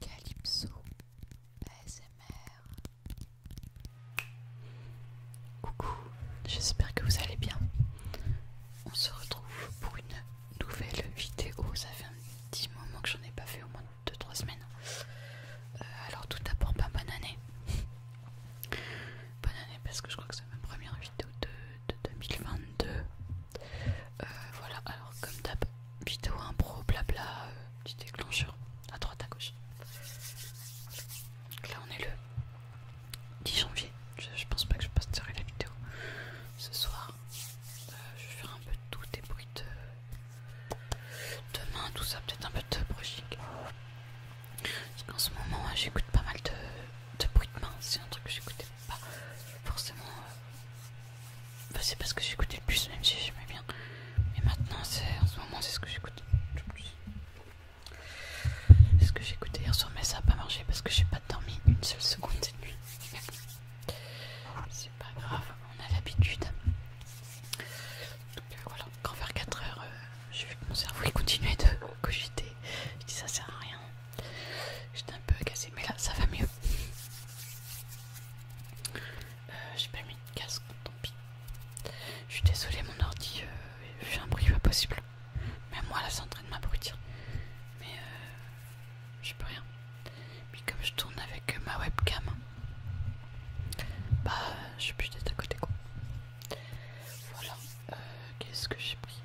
Calypso ASMR Coucou, j'espère que vous allez bien. On se retrouve pour une nouvelle vidéo. Ça fait un petit moment que j'en ai pas fait, au moins 2-3 semaines. Euh, alors, tout d'abord, pas bah, bonne année. Bonne année parce que je crois que c'est ma première vidéo de 2022. Euh, voilà, alors comme d'hab, vidéo impro, blabla, euh, petit déclencheur à droite, à gauche. là, on est le 10 janvier. Je, pense pas que je posterai la vidéo ce soir. Euh, je vais faire un peu de tout, des bruits de, main, tout ça, peut-être un peu de brushing. Parce qu'en ce moment, j'écoute pas mal de, de bruit de main, c'est un truc que j'écoutais pas forcément. Euh, bah, c'est parce que j'écoutais le plus, même si j'aimais bien. Mais maintenant, en ce moment, c'est ce que j'écoute le plus. ce que j'écoutais hier soir, mais ça n'a pas marché parce que j'ai pas dormi une seule seconde cette nuit. C'est pas grave, on a l'habitude. Donc euh, voilà, quand vers 4 heures, j'ai vu que mon cerveau il continuait de cogiter. Je dis ça sert à rien. J'étais un peu cassé, mais là ça va mieux. Euh, j'ai pas mis de casque, tant pis. Je suis désolée, mon ordi j'ai euh, fait un bruit pas possible. Même moi là, c'est en train de m'abrutir. Mais euh, je peux rien. Puis comme je tourne avec ma webcam, bah je suis d'être à côté quoi. Voilà, euh, qu'est-ce que j'ai pris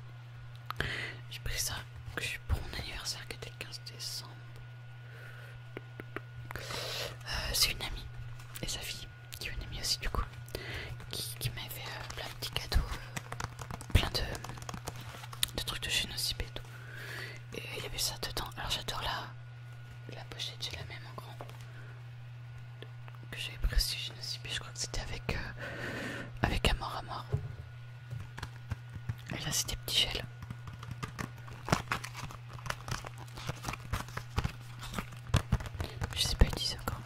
j'ai pris ça pour mon anniversaire qui était le 15 décembre. Euh, c'est une amie et sa fille, qui est une amie aussi du coup, qui, m'avait fait euh, plein de petits cadeaux, euh, plein de, trucs de chez et tout. Et il y avait ça dedans. Alors j'adore la, la pochette, j'ai la même en grand que j'avais pris sur chez Je crois que c'était avec, avec Amor Amor. Et là, c'est des petits gels. Je sais pas disent encore.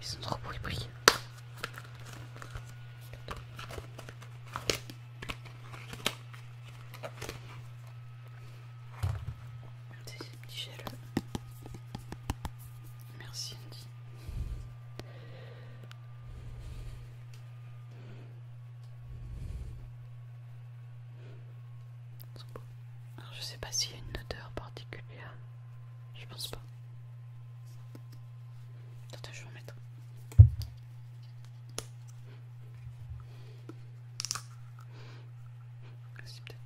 Ils sont trop bruits Merci Andy. Alors je sais pas s'il y a une odeur particulière. Je pense pas. Attends, je vais en mettre. Merci, peut-être.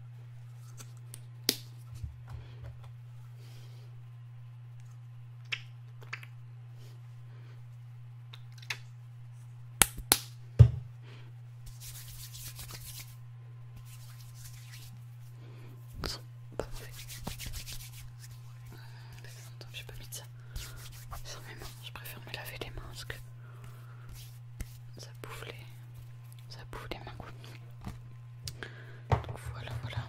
Ils pas Je mis ça Je préfère me laver les mains parce que ça bouffe les, ça bouffe les mains. voilà, voilà.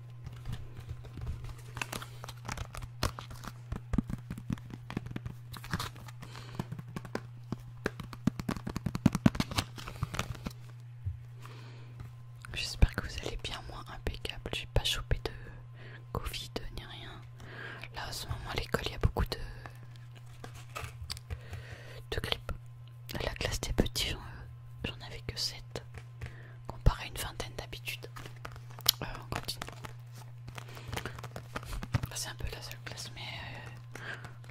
J'espère que vous allez bien, moi impeccable, j'ai pas chopé de Covid ni rien. Là en ce moment à l'école il y a beaucoup de de La classe des petits j'en euh, avais que 7 comparé à une vingtaine d'habitudes. Euh, on continue. Ah, c'est un peu la seule classe, mais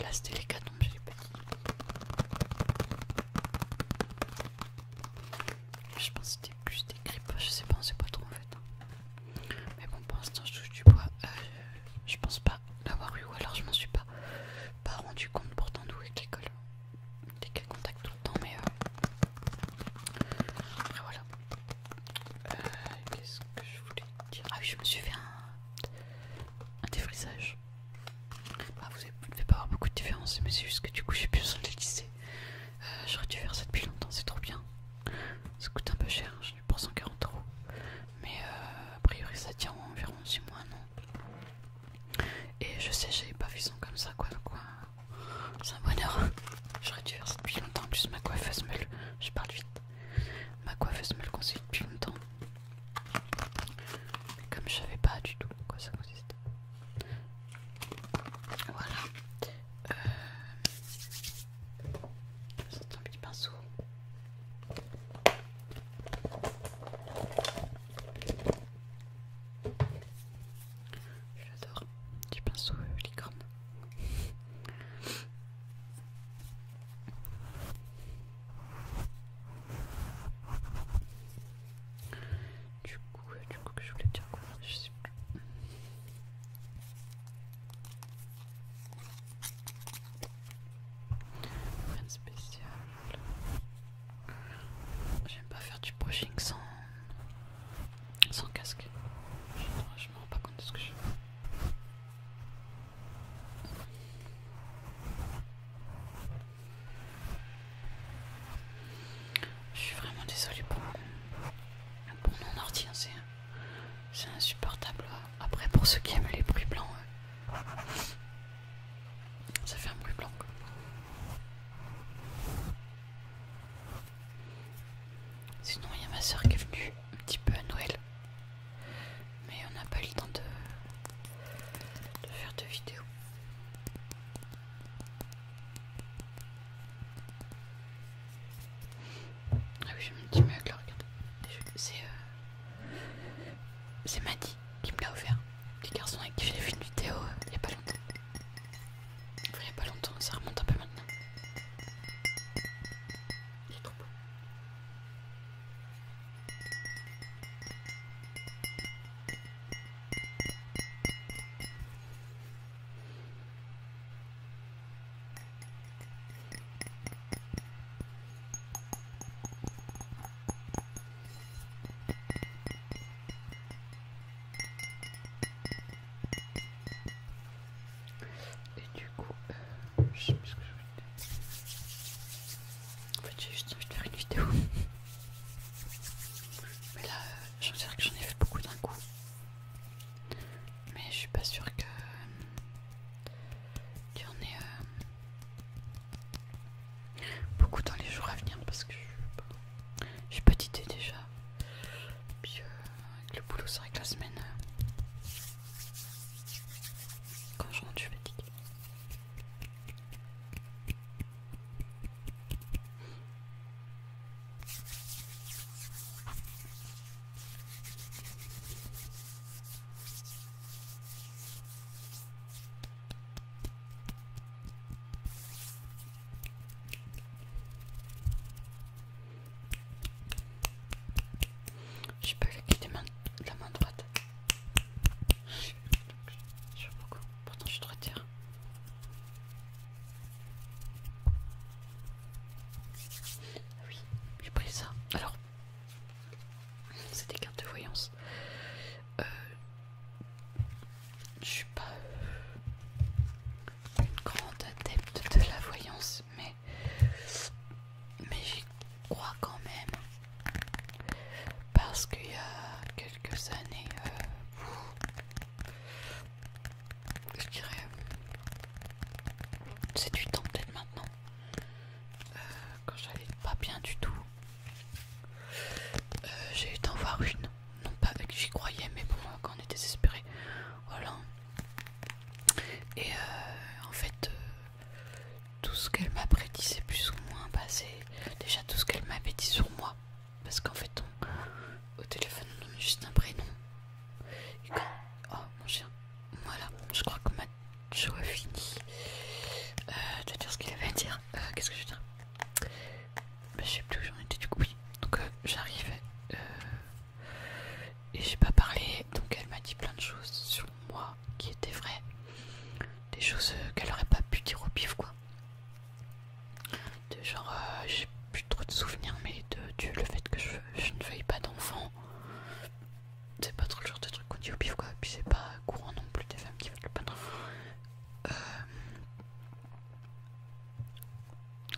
là c'était les catons j'ai les petits. Je pense que c'était plus des grippes, je sais pas, on sait pas trop en fait. Mais bon, pour l'instant, je touche du bois. Euh, je pense pas l'avoir eu, ou alors je m'en suis pas, pas rendu compte pourtant d'où est l'école des cas tout le temps, mais euh... après voilà. Euh, Qu'est-ce que je voulais dire Ah oui, je me suis fait un, un défrisage. Bah, vous ne devez pas avoir beaucoup de différence, mais c'est juste que du coup, j'ai plus besoin de le lisser. Euh, j'aurais dû faire ça depuis longtemps, c'est trop bien. Ça coûte un peu cher, j'en ai pour 140 euros. Mais euh, a priori, ça tient environ 6 mois, non Et je sais, j'avais pas vu ça comme ça, quoi. quoi c'est un bonheur. Hein. J'aurais dû faire ça depuis longtemps. Juste plus, ma coiffeuse me Je parle vite. Ma coiffeuse me qu'on conseille depuis longtemps. Mais comme je savais pas du tout quoi ça consiste. Voilà. vais C'est un petit pinceau. Je l'adore, du pinceau licorne. Du coup, euh, du coup que je voulais dire quoi, je sais plus. Rien de spécial. J'aime pas faire du brushing sans, casque. Je me rends pas compte de ce que je fais. Je suis vraiment désolée pour mon, ordi, hein, c'est insupportable. Après, pour ceux qui aiment les bruits blancs, ça fait un bruit blanc. Quoi. Sinon, il y a ma soeur qui est venue un petit peu à Noël. Mais on n'a pas eu le temps de, faire de vidéos. Ah oui, j'ai mon petit là, regarde. C'est euh, c'est Maddy qui, me l'a offert. Les garçons avec qui j'ai vu une vidéo euh, il n'y a pas longtemps. il n'y a pas longtemps, ça remonte un peu maintenant. c'est trop beau. Et du coup, euh, je sais plus ce que je vais dire. En fait, j'ai juste envie de faire une vidéo. Mais là, euh, j'en que j'en ai fait beaucoup d'un coup. Mais je suis pas sûre que. tu euh, en aies beaucoup dans les jours à venir parce que j'ai pas d'idée déjà. Puis euh, le boulot, c'est avec la semaine, euh, quand je rentre, je vais fatiguée. Je peux pas avec mains, la main droite. Je beaucoup. Pourtant, je te ah Oui, j'ai pris ça. Alors, c'est des cartes de voyance. Euh, je suis pas euh, une grande adepte de la voyance, mais, mais j'y crois quand même. Parce qu'il y a quelques années, euh, je dirais 7 du ans peut-être maintenant, euh, quand j'allais pas bien du tout, euh, j'ai eu d'en voir une, non pas avec qui j'y croyais, mais moi quand on est désespéré, voilà. Et euh, en fait, euh, tout ce qu'elle m'a prédit, c'est plus ou moins passé. c'est déjà tout ce qu'elle m'avait dit sur moi, parce qu'en fait, au téléphone, on donne juste un prénom. Et quand... Oh mon chien, voilà, je crois que ma show a fini veux dire ce qu'il avait à dire. Qu'est-ce que je veux dire mais je sais plus où j'en étais du coup. donc euh, j'arrivais euh, et j'ai pas parlé. Donc elle m'a dit plein de choses sur moi qui étaient vraies. Des choses euh, qu'elle aurait pas pu dire au pif quoi. genre, j'ai plus trop de souvenirs, mais de, le fait que je, je ne veuille pas d'enfant. C'est pas trop le genre de truc qu'on dit au pif quoi. Et puis c'est pas courant non plus des femmes qui veulent pas d'enfant. Euh,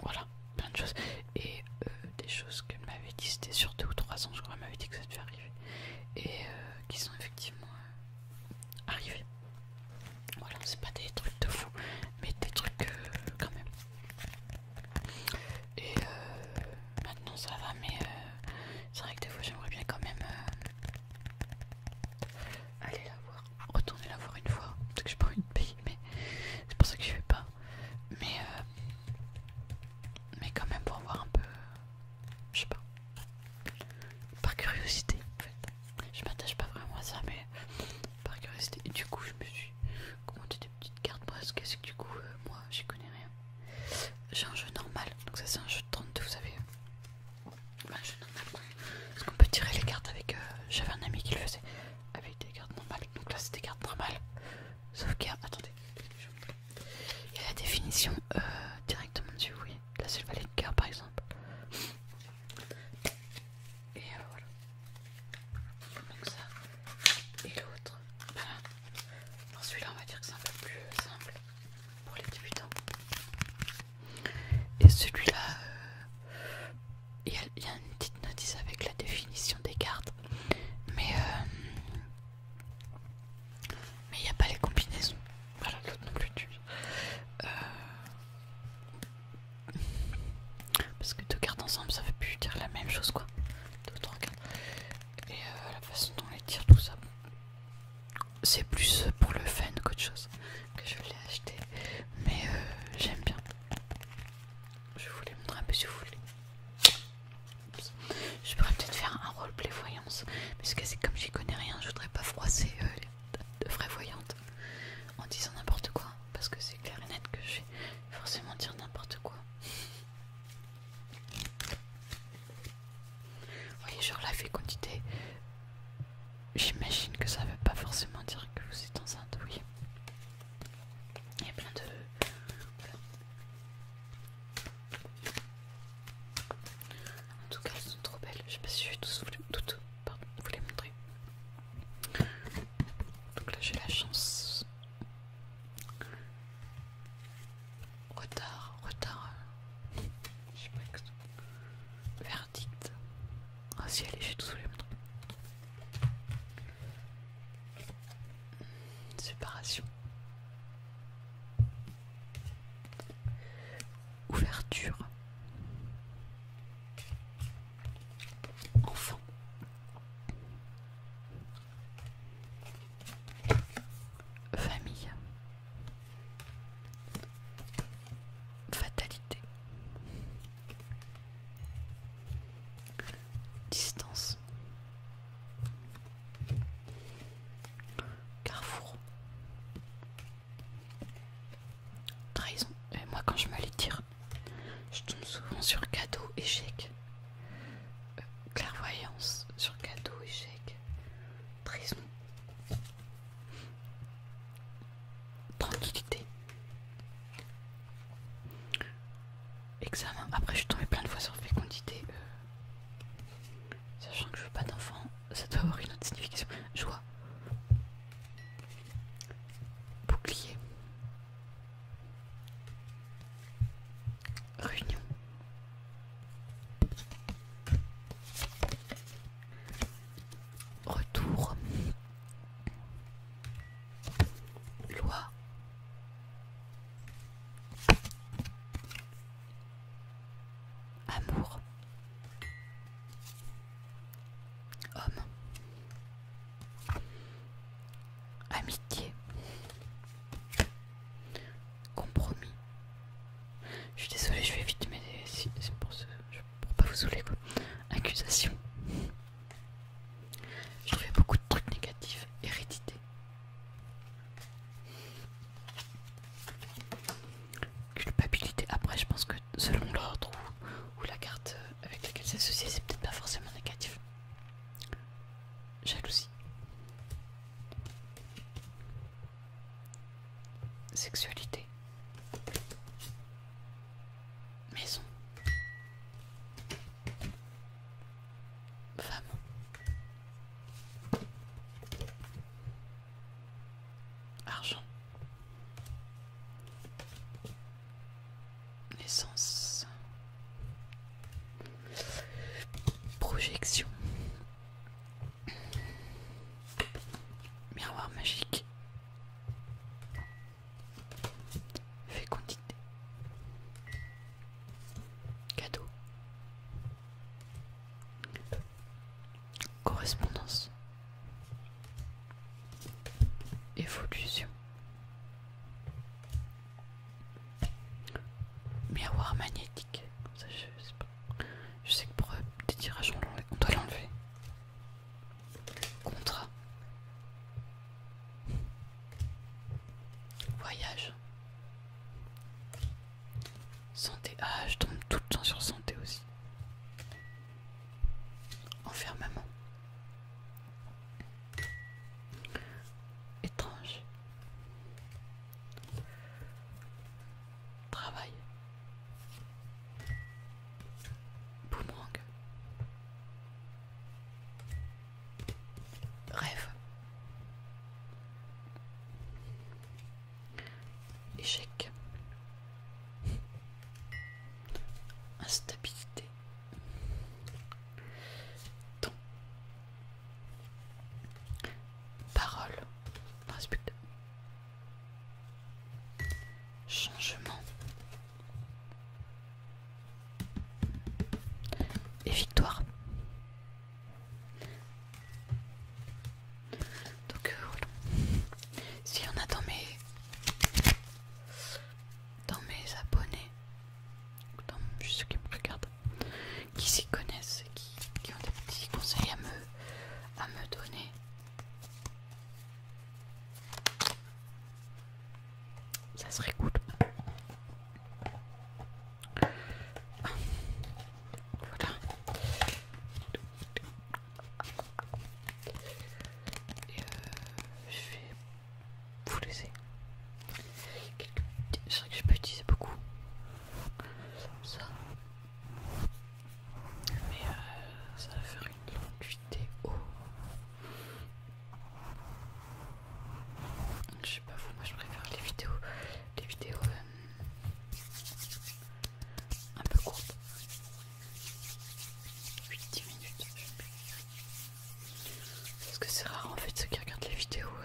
voilà, plein de choses. Et euh, des choses qu'elle m'avait dit, c'était sur deux ou trois ans, je crois, elle m'avait dit que ça devait arriver. Et euh, qui sont effectivement arrivées. Voilà, c'est pas des trucs de fou, mais des trucs quand même. Et euh, maintenant ça va, mais euh, c'est vrai que des fois j'aimerais bien quand même euh, aller la voir, retourner la voir une fois, parce que je pas une de mais c'est pour ça que je fais pas. Mais, euh, mais quand même pour voir un peu, je sais pas, par curiosité en fait. Je m'attache pas vraiment à ça, mais par curiosité. Et du coup, je me suis commandé des petites cartes parce que que du coup, euh, moi j'y connais rien. J'ai un jeu normal, donc ça c'est un jeu de 32, vous savez. Bah, Est-ce qu'on peut tirer les cartes avec. Euh, j'avais un ami qui le faisait avec ah, des cartes normales. Donc là, c'est des cartes normales. Sauf qu'il y a. Attendez, Il y a la définition euh, directement dessus, Oui, Là, c'est le valet de cœur par exemple. Et euh, voilà. Donc ça. Et l'autre. Voilà. Ben, Alors celui-là, on va dire que c'est un peu plus simple pour les débutants. Et celui-là, euh, il y, a une petite notice avec la définition des cartes, mais euh, il n'y a pas les combinaisons. Voilà, l'autre non plus. Euh, parce que deux cartes ensemble, ça fait plus dire la même chose quoi. Deux cartes. Et la façon dont on les tire tout ça c'est plus pour le fun qu'autre chose que je l'ai acheté, mais euh, j'aime bien. Je vous les un peu si vous voulez. Je pourrais peut-être faire un roleplay voyance, parce que c'est comme j'y connais rien, je voudrais pas froisser euh, de vraies voyantes en disant n'importe quoi, parce que c'est clair et net que je vais forcément dire n'importe quoi. Oui, genre la fécondité, j'imagine que ça veut pas forcément dire que vous êtes enceinte, oui. Il y a plein de... En tout cas, elles sont trop belles. Je ne sais pas si je vais tous voulu toutes, pardon, vous les montrer. Donc là, j'ai la chance Retard, retard. je que Verdict. Ah si, allez, je suis tout sous les maintenant. Séparation. Ouverture. Enfant. Famille. Fatalité. Distance. Carrefour. Trahison. Et moi quand je me les tire, je tombe souvent sur cadeau, échec. Euh, clairvoyance sur cadeau, échec. Trahison. Tranquillité. Examen. Après, je suis tombée plein de fois sur fécondité. Euh, sachant que je veux pas d'enfant, ça doit avoir une autre signification. Joie. Bouclier. Réunion. Retour. Loi. Amour. Homme. Amitié compromis. Je suis désolé je vais vite, mais c'est pour, ce, pour pas vous saouler quoi. Accusation. Je trouvais beaucoup de trucs négatifs, hérédité. Culpabilité. Après, je pense que selon l'ordre ou, ou la carte euh, avec laquelle c'est associé, c'est peut-être pas forcément négatif. Jalousie. Sexualité. Maison. Femme. Argent. Naissance. Projection. Miroir magique. Fécondité. Cadeau. Correspondance. Évolution. Miroir magnétique ça je sais que pour euh, des tirages on doit l'enlever. Contrat. Voyage. Santé. Ah, je tombe tout le temps sur santé aussi. Enfermement. Étrange. Travail. Boomerang. Rêve. Échec. Instabilité. Temps. Parole. Changement. Et victoire. Donc euh, voilà, s'il y en a dans mes dans mes abonnés, dans ceux qui me regardent qui s'y connaissent et qui, ont des petits conseils à me, donner. Ça serait cool. Voilà. Et euh, je vais vous laisser. Je sais que je peux utiliser beaucoup. comme Ça. Mais euh, ça va faire une longue vidéo. Je sais pas moi je préfère les vidéos. Les vidéos euh, un peu courtes. 8-10 minutes. Parce que c'est rare en fait ceux qui regardent les vidéos. Euh,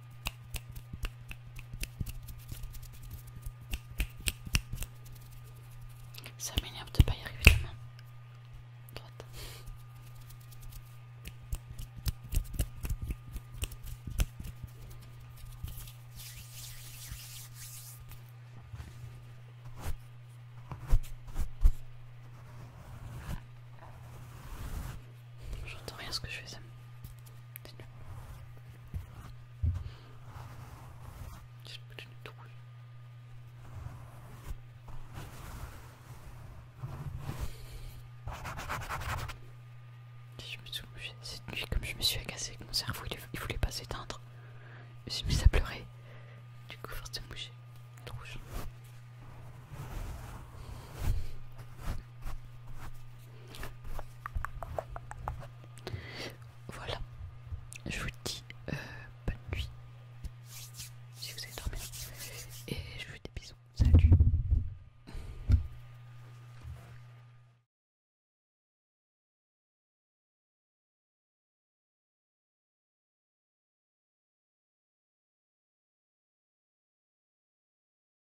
Ça m'énerve de pas y arriver la J'entends rien ce que je fais je me suis cette nuit, comme je me suis agacée mon cerveau, il, voulait pas s'éteindre. Je me suis mis à pleurer. Du coup, force de me bouger. Voilà, je vous dis euh, bonne nuit si vous avez dormi et je vous fais des bisous. Salut.